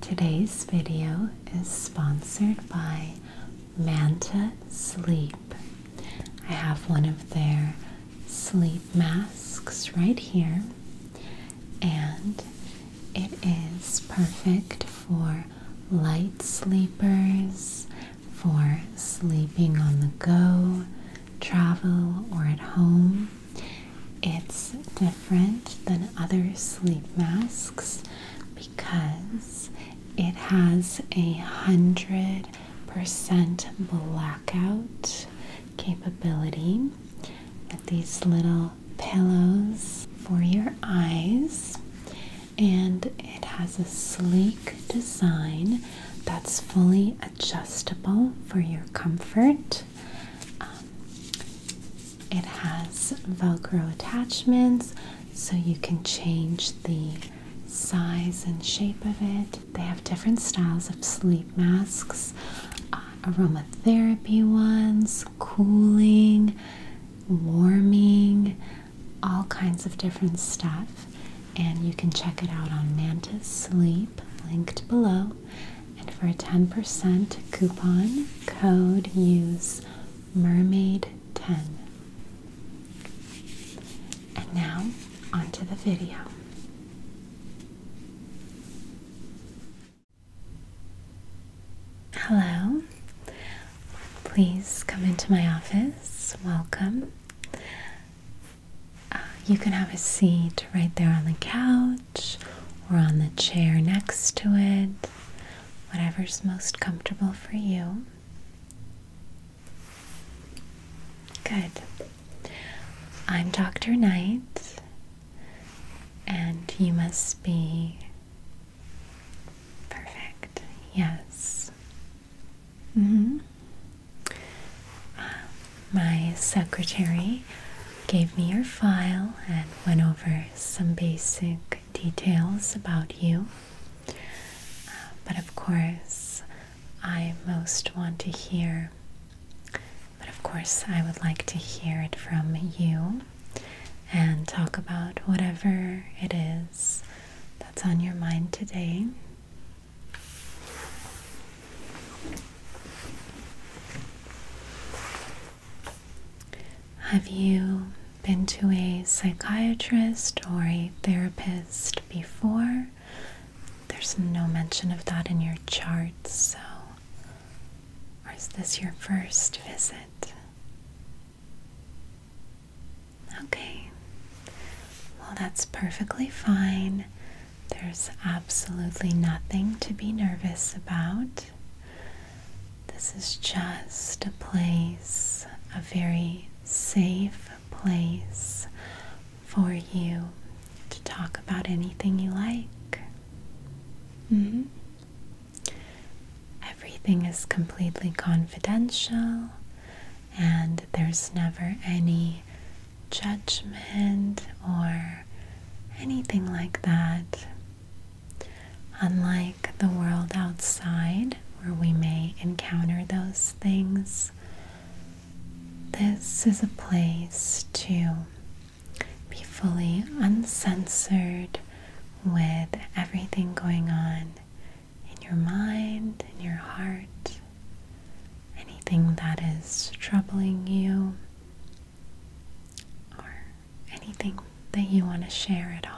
Today's video is sponsored by Manta Sleep. I have one of their sleep masks right here, and it is perfect for light sleepers, for sleeping on the go, travel, or at home. It's different than other sleep masks because it has a hundred percent blackout capability with these little pillows for your eyes and it has a sleek design that's fully adjustable for your comfort um, it has Velcro attachments so you can change the size and shape of it. They have different styles of sleep masks, uh, aromatherapy ones, cooling, warming, all kinds of different stuff. And you can check it out on Mantis Sleep, linked below. And for a 10% coupon code, use Mermaid10. And now, onto the video. Hello. Please come into my office. Welcome. Uh, you can have a seat right there on the couch or on the chair next to it whatever's most comfortable for you. Good. I'm Dr. Knight, and you must be perfect. Yes. hmm. my secretary gave me your file and went over some basic details about you. Uh, but of course, I most want to hear, but of course, I would like to hear it from you and talk about whatever it is that's on your mind today. Have you been to a psychiatrist or a therapist before? There's no mention of that in your chart, so. is this your first visit? Okay. Well, that's perfectly fine. There's absolutely nothing to be nervous about. This is just a place, a very safe place for you to talk about anything you like. Mm-hmm. Everything is completely confidential, and there's never any judgment or anything like that. Unlike the world outside, where we may encounter those things, this is a place to be fully uncensored with everything going on in your mind, in your heart, anything that is troubling you anything that you want to share at all.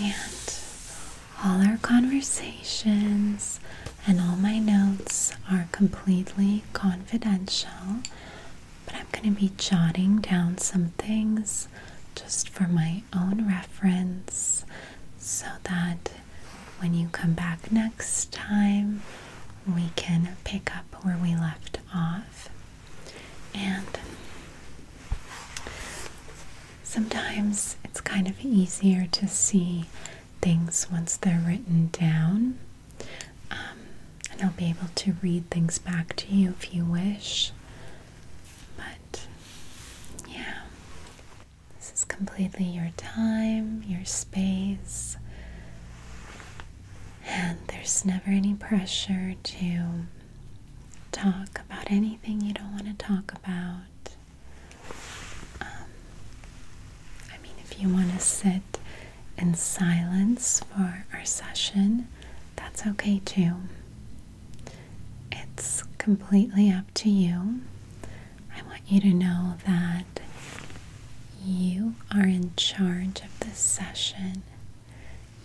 And all our conversations and all my notes are completely confidential, but I'm going to be jotting down some things just for my own reference so that when you come back next time, we can pick up where we left off. And sometimes it's kind of easier to see things once they're written down. Um, and I'll be able to read things back to you if you wish. But yeah, this is completely your time, your space, and there's never any pressure to talk about anything you don't want to talk about. Um, I mean, if you want to sit in silence for our session, that's okay too. It's completely up to you. I want you to know that you are in charge of this session.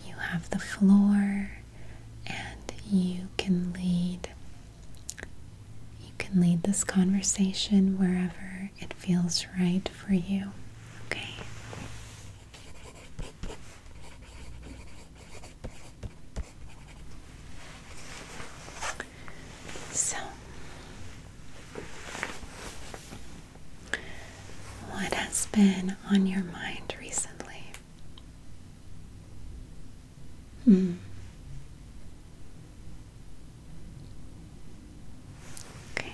You have the floor and you can lead. You can lead this conversation wherever it feels right for you. Okay? So, what has been on your mind recently? Hmm. Okay.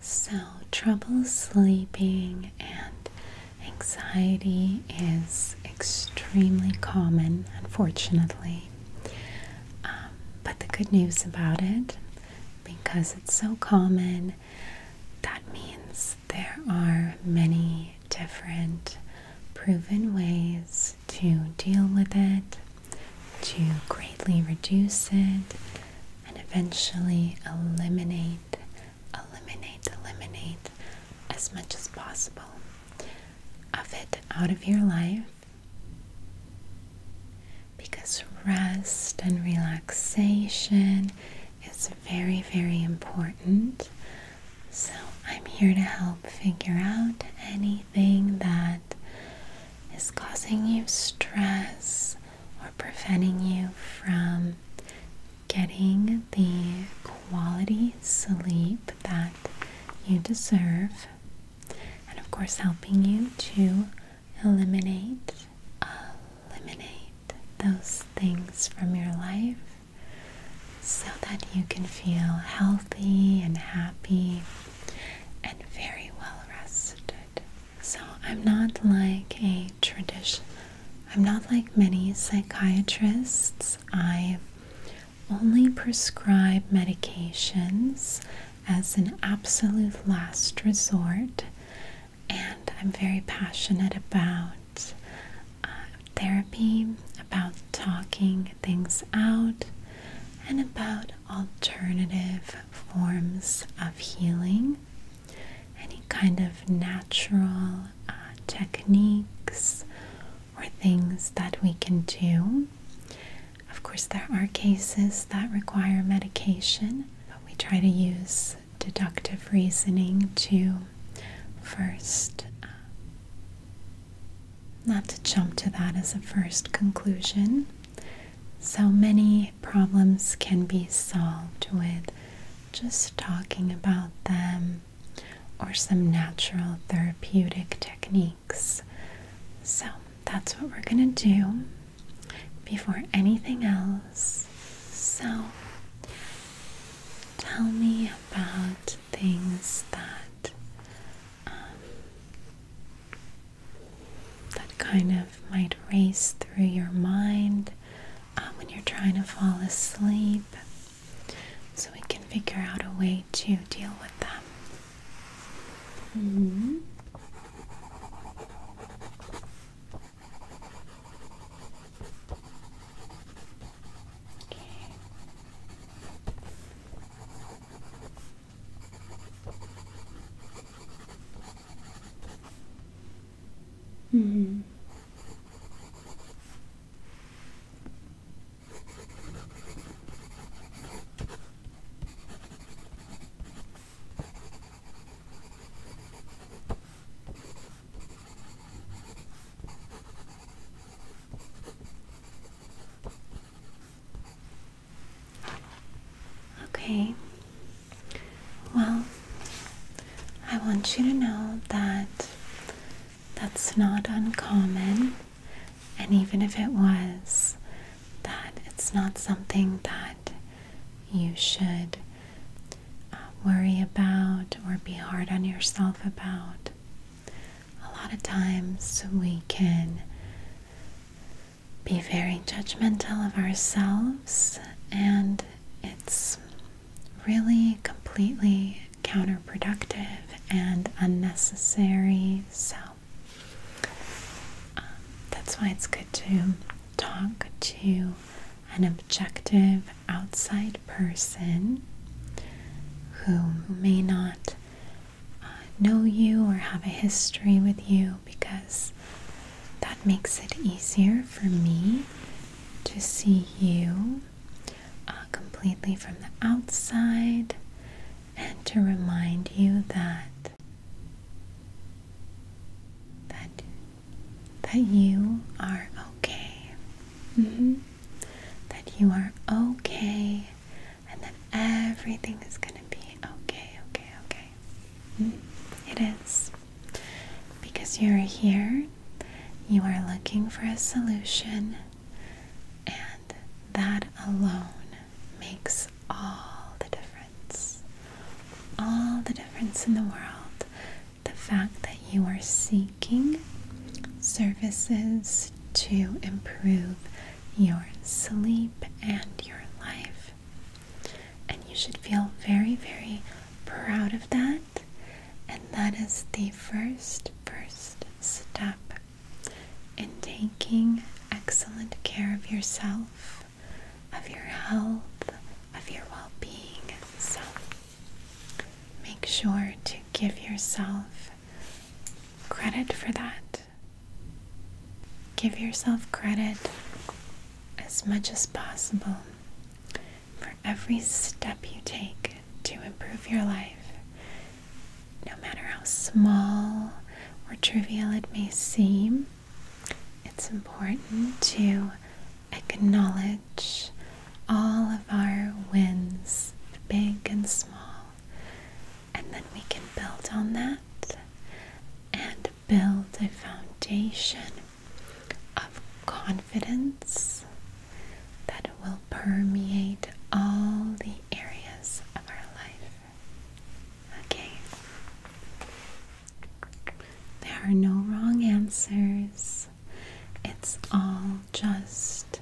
So, trouble sleeping and anxiety is extremely common, unfortunately. Um, but the good news about it, because it's so common, that means there are many different proven ways to deal with it, to greatly reduce it, and eventually eliminate, eliminate, eliminate as much as possible of it out of your life. Because rest and relaxation is very, very important so, I'm here to help figure out anything that is causing you stress or preventing you from getting the quality sleep that you deserve, and of course, helping you to eliminate eliminate those things from your life so that you can feel healthy and happy and very well rested. So, I'm not like a tradition, I'm not like many psychiatrists. I only prescribe medications as an absolute last resort, and I'm very passionate about uh, therapy, about talking things out, and about alternative forms of healing, any kind of natural uh, techniques or things that we can do. Of course, there are cases that require medication, but we try to use deductive reasoning to first uh, not to jump to that as a first conclusion. So many problems can be solved with just talking about them or some natural therapeutic techniques. So that's what we're going to do before anything else. So tell me about things that um, that kind of might race through your mind uh, when you're trying to fall asleep. So we can figure out a way to deal with them. Mm-hmm. Okay. mm mm-hmm. Okay. Well, I want you to know that that's not uncommon, and even if it was, that it's not something that you should uh, worry about or be hard on yourself about a lot of times we can be very judgmental of ourselves, and it's really completely counterproductive and unnecessary. So, um, that's why it's good to talk to an objective outside person who may not uh, know you or have a history with you because that makes it easier for me to see you uh, completely from the outside and to remind you that that that you are okay. Mm-hmm that you are okay and that everything is going to be okay, okay, okay. Mm-hmm. It is. Because you're here, you are looking for a solution, and that alone makes all the difference. All the difference in the world. The fact that you are seeking services to improve your sleep and your life. And you should feel very, very proud of that. And that is the first, first step in taking excellent care of yourself, of your health, of your well being. So make sure to give yourself credit for that. Give yourself credit as much as possible for every step you take to improve your life, no matter how small or trivial it may seem. It's important to acknowledge all of our wins, big and small and then we can build on that and build a foundation of confidence that will permeate all the areas of our life. Okay. There are no wrong answers. It's all just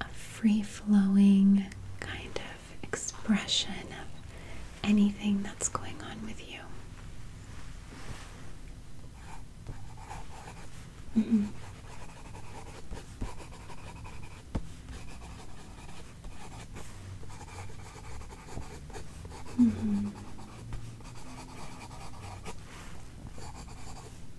a free flowing kind of expression of anything that's going on with you. Mm -hmm.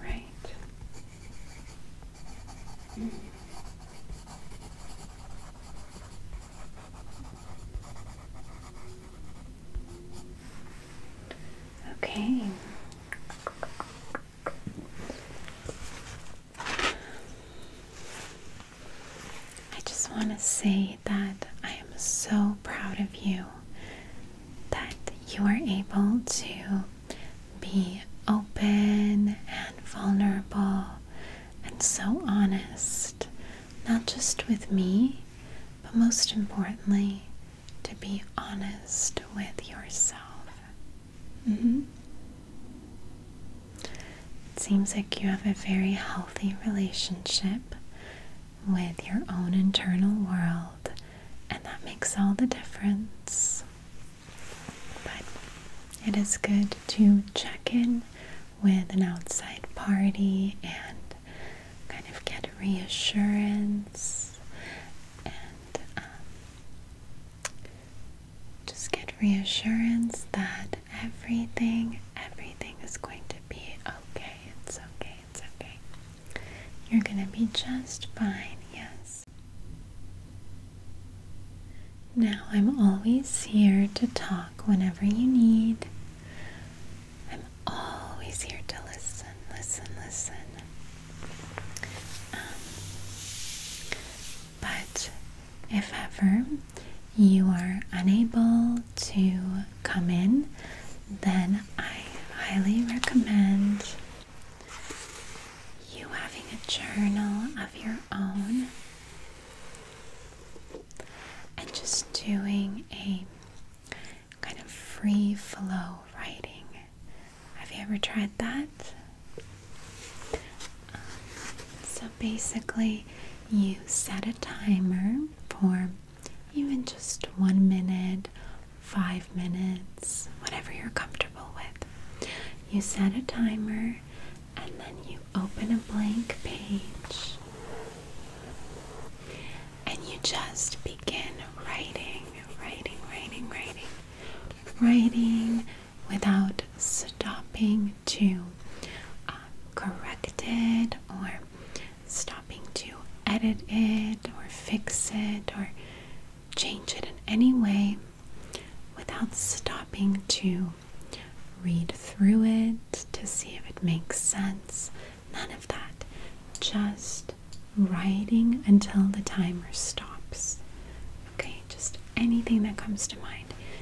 Right. Mm. Okay. I just want to say that I am so proud of you that you are able to be open and vulnerable and so honest, not just with me, but most importantly, to be honest with yourself. Mm-hmm. It seems like you have a very healthy relationship with your own internal world, and that makes all the difference. But it is good to check in with an outside party and kind of get reassurance um, just get reassurance that everything, everything is going to be okay. It's okay, it's okay. You're going to be just fine, yes. Now, I'm always here to talk whenever you need. I'm always here to listen, listen, listen. Um, but if ever you are unable to come in, then I highly recommend you having a journal of your own and just doing a kind of free flow writing. Have you ever tried that? so basically, you set a timer for even just one minute, five minutes, whatever you're comfortable with. You set a timer and then you open a blank page and you just begin writing, writing, writing, writing, writing without stopping to um, correct it or stopping to edit it or fix it or change it in any way without stopping to read through it to see if it makes sense. None of that. Just writing until the timer stops. Okay, just anything that comes to mind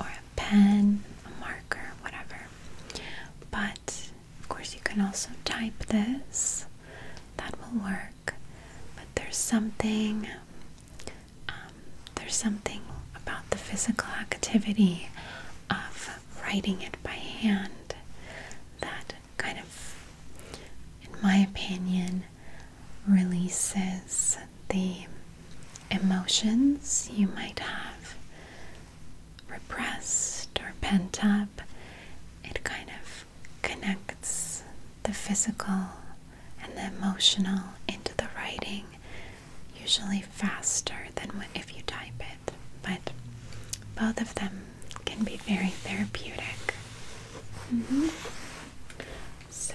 or a pen, a marker, whatever. But of course, you can also type this, that will work. But there's something, um, there's something about the physical activity of writing it by hand that kind of, in my opinion, releases the emotions you might have repressed or pent up, it kind of connects the physical and the emotional into the writing, usually faster than if you type it. But both of them can be very therapeutic. Mm-hmm. So,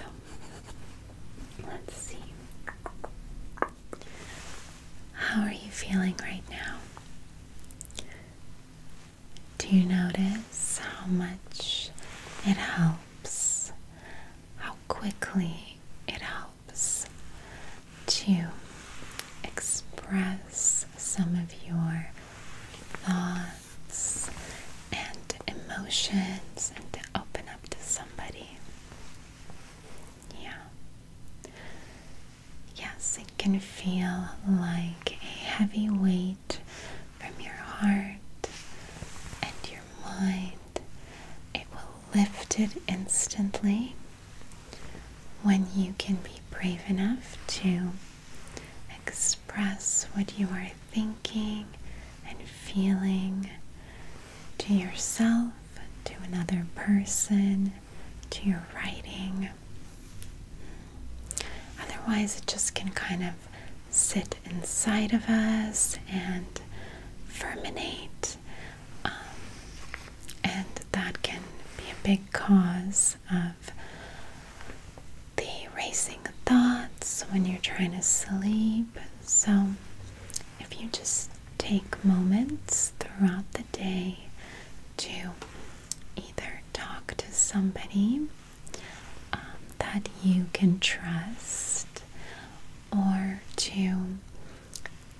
let's see. How are you feeling right now? Do you notice how much it helps? How quickly it helps to express some of your thoughts and emotions and to open up to somebody. Yeah. Yes, it can feel like a heavy weight from your heart and your mind. It will lift it instantly when you can be brave enough to express what you are thinking and feeling to yourself, to another person, to your writing. Otherwise, it just can kind of sit inside of us and ferminate. Um, and that can be a big cause of the racing thoughts when you're trying to sleep. So, if you just take moments throughout the day to either talk to somebody um, that you can trust or to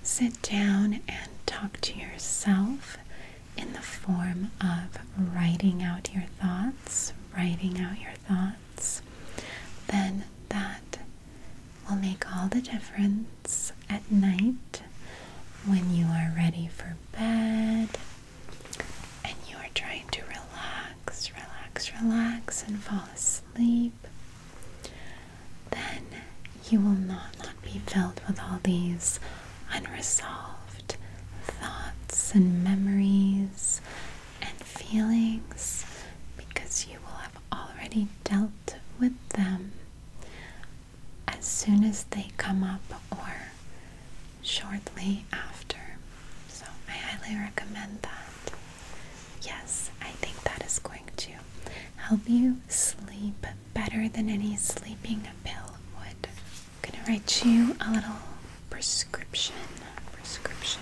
sit down and talk to yourself in the form of writing out your thoughts, writing out your thoughts then that will make all the difference at night when you are ready for bed and you are trying to relax, relax, relax, and fall asleep. Then you will not, not be filled with all these unresolved thoughts and memories and feelings because you will have already dealt with them as soon as they come up or shortly after. So I highly recommend that. Yes, I think that is going to help you sleep better than any sleeping pill would. I'm going to write you a little prescription. Prescription.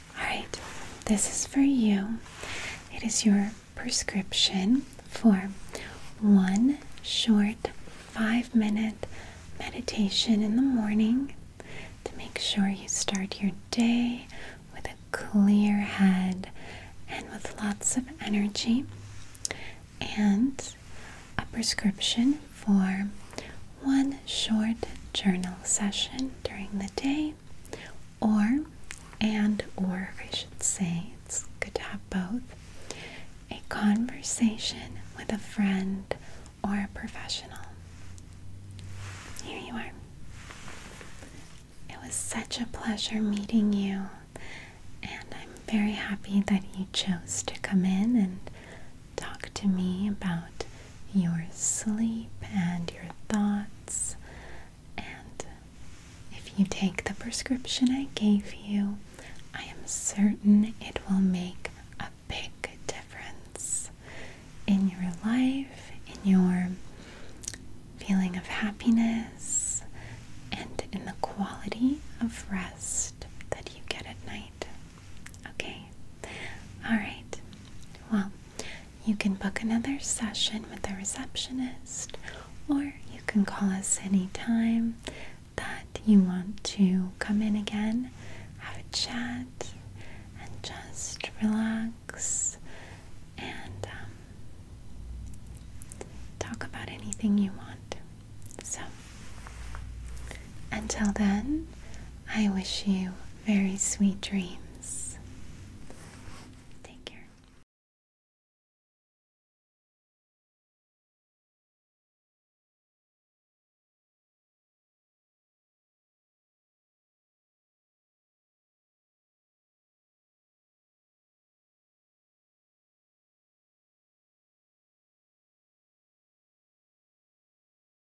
Alright, this is for you. It is your prescription for one short five minute meditation in the morning to make sure you start your day with a clear head and with lots of energy, and a prescription for one short journal session during the day or and or I should say it's good to have both a conversation with a friend or a professional. Here you are. It was such a pleasure meeting you and I'm very happy that you chose to come in and Talk to me about your sleep and your thoughts. And if you take the prescription I gave you, I am certain it will make a big difference in your life, in your feeling of happiness, and in the quality of rest that you get at night. Okay. All right. Well, you can book another session with the receptionist, or you can call us anytime that you want to come in again, have a chat, and just relax and um, talk about anything you want. So, until then, I wish you very sweet dreams. Take care.